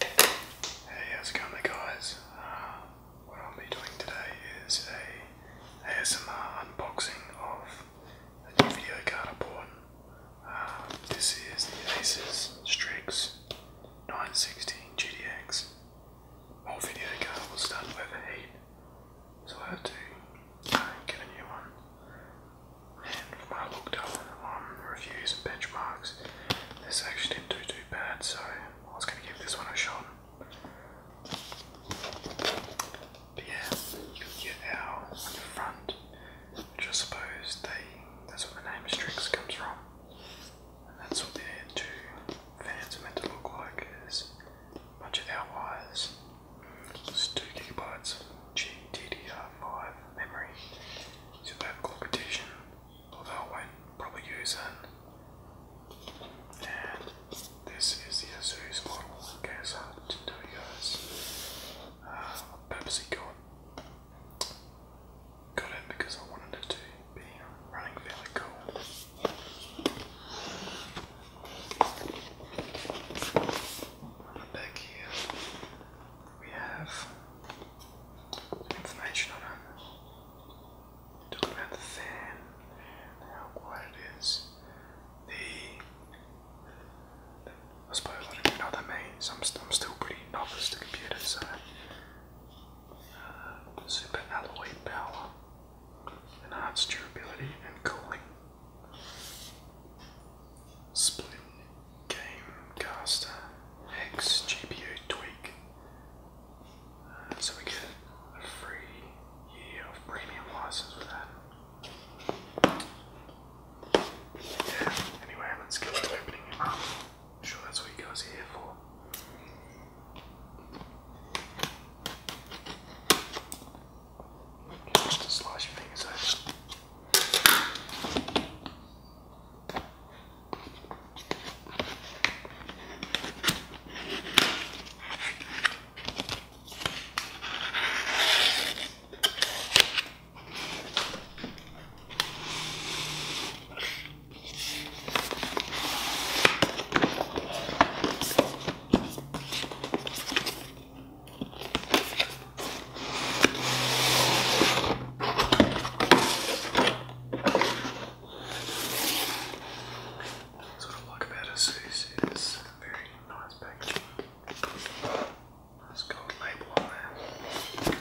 Hey, how's it going guys? Uh, what I'll be doing today is a ASMR unboxing of a video card I um, this is the Asus Strix 916 GTX. All video card We'll start with heat, so I have to uh, get a new one and when I looked up on reviews and benchmarks, this actually didn't do too bad, so I was going to give this one a shot. But yeah, you get our on the front, which I suppose they, that's what the name Strix comes from. And that's what their two fans are meant to look like, is a of our wires. It's 2 gigabytes GDDR5 memory to that competition, although I won't probably use it. And this is the Asus model in case I did guys. Pepsi got, got it because I wanted it to be running fairly cool. Back here, we have information on it. Talking about the fan and how quiet it is. The, I suppose I don't know that means. I'm, i I'm still pretty novice to computers, uh, super alloy power, enhanced durability and cooling. Split Gamecaster X GPU Tweak. Uh, so we get a free year of premium license with that. Yeah, anyway, let's get to opening it. I'm sure that's what you guys here for. Just to slice your fingers over. That's what I like about Asus is very nice packaging. Nice gold label on there.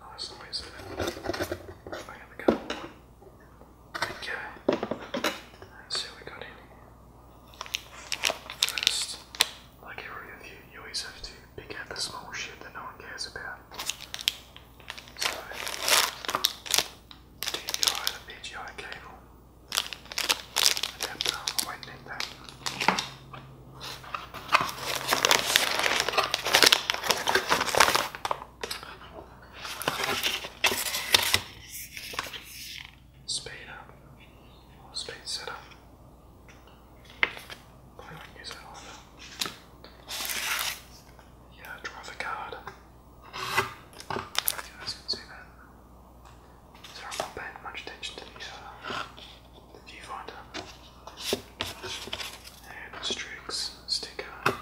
Nice noise I gotta go. Okay. Let's see what we got here. First, like every of you, you always have to pick out the small shit that no one cares about. So, DVI the PGI cable adapter, I won't Speed up, speed setup. Yeah, drive a card. You guys I'm not paying much attention to the, uh, the viewfinder. And Strix sticker. And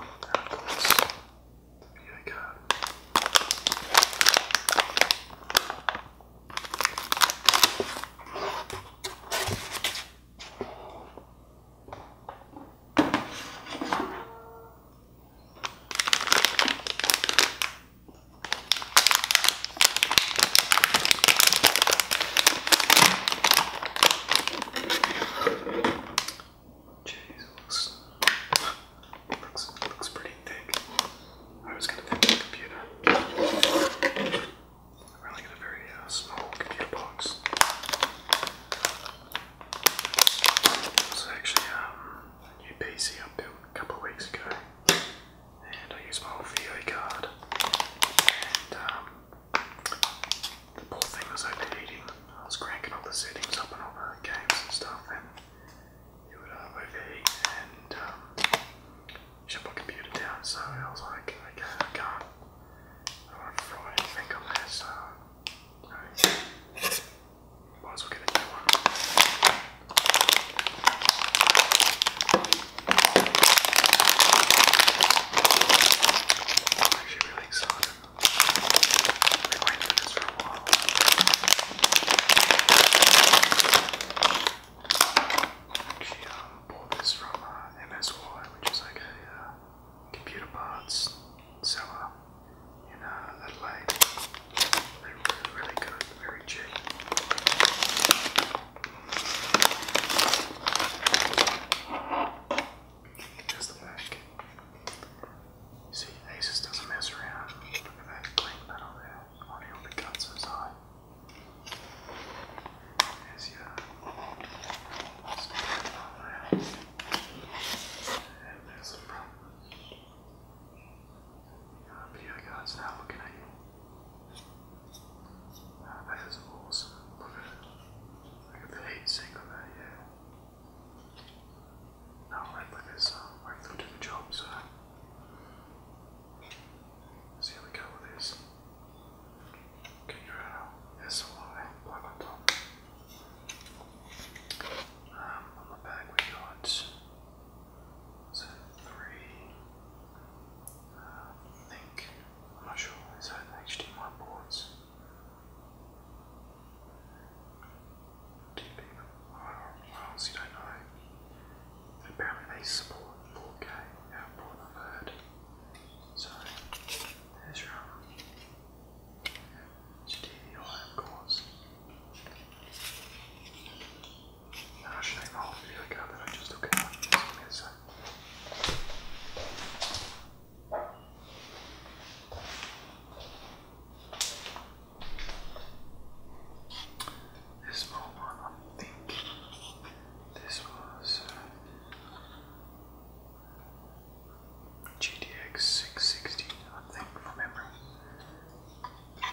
of the card. Jeez, it looks, it looks, it looks pretty thick. I was gonna think of a computer. I really got a very uh, small computer box. So actually, um, a new PC I built a couple of weeks ago, and I used my old card. And um, the poor thing was overheating. I was cranking all the settings up and all the games and stuff, and you would um, overheat and um, shut my computer down. So I was like, I can't. I want to throw anything on there, so you know, might as well get I'm actually really excited. I've been waiting she um, bought this from uh, MSY, which is like a uh, computer parts seller in uh, Adelaide. They're really, really good, very cheap. There's the back. See, Asus doesn't mess around. Look at that clean panel there weren't able to cut so high. Is yeah. there's a problem. Uh, but yeah, guys, now looking at you. that is awesome. Look at it. Look at the heat on that, yeah. Now, right, like this, um, uh, right through to the job, so. Let's see how we go with this. Can you out? Yes, why? on top. Um, on the back we got three. Uh, think I'm not sure. Is that HDMI ports? deeping Wow, you don't know. apparently they support 4K output, I've heard. So, there's your own. GDVI, of course. And I should name my whole video card that I just took out. Just give me this moment, I'm this was uh, GTX 660, I think, from memory. Um,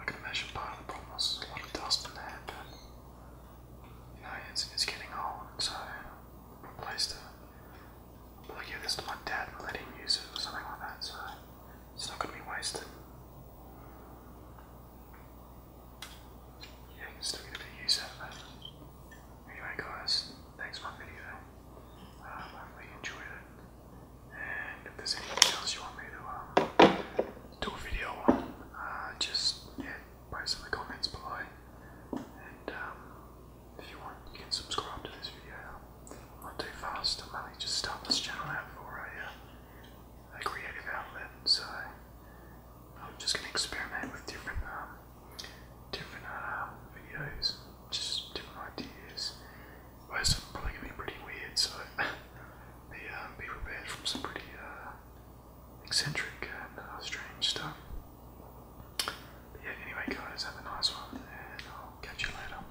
I can imagine part of the problem a lot of dust in there, you know, it's, it's getting old, so replaced it. But I this to my dad let him use it or something like that, so. It's not going to be wasted. Yeah, you can still get a bit Anyway, guys, thanks for my video. Um, hopefully, enjoyed it. And if there's anything else you want me to um, do a video on, uh, just yeah, post in the comments below. And um, if you want, you can subscribe to this video not too fast. I'm only just starting this channel out for a, uh, a creative outlet, so I'm just going to experiment with different, um, different uh, videos, just different ideas. Most of probably going to be pretty weird, so be, um, be prepared for some pretty uh, eccentric and strange stuff. yeah, anyway, guys, have a nice one, and I'll catch you later.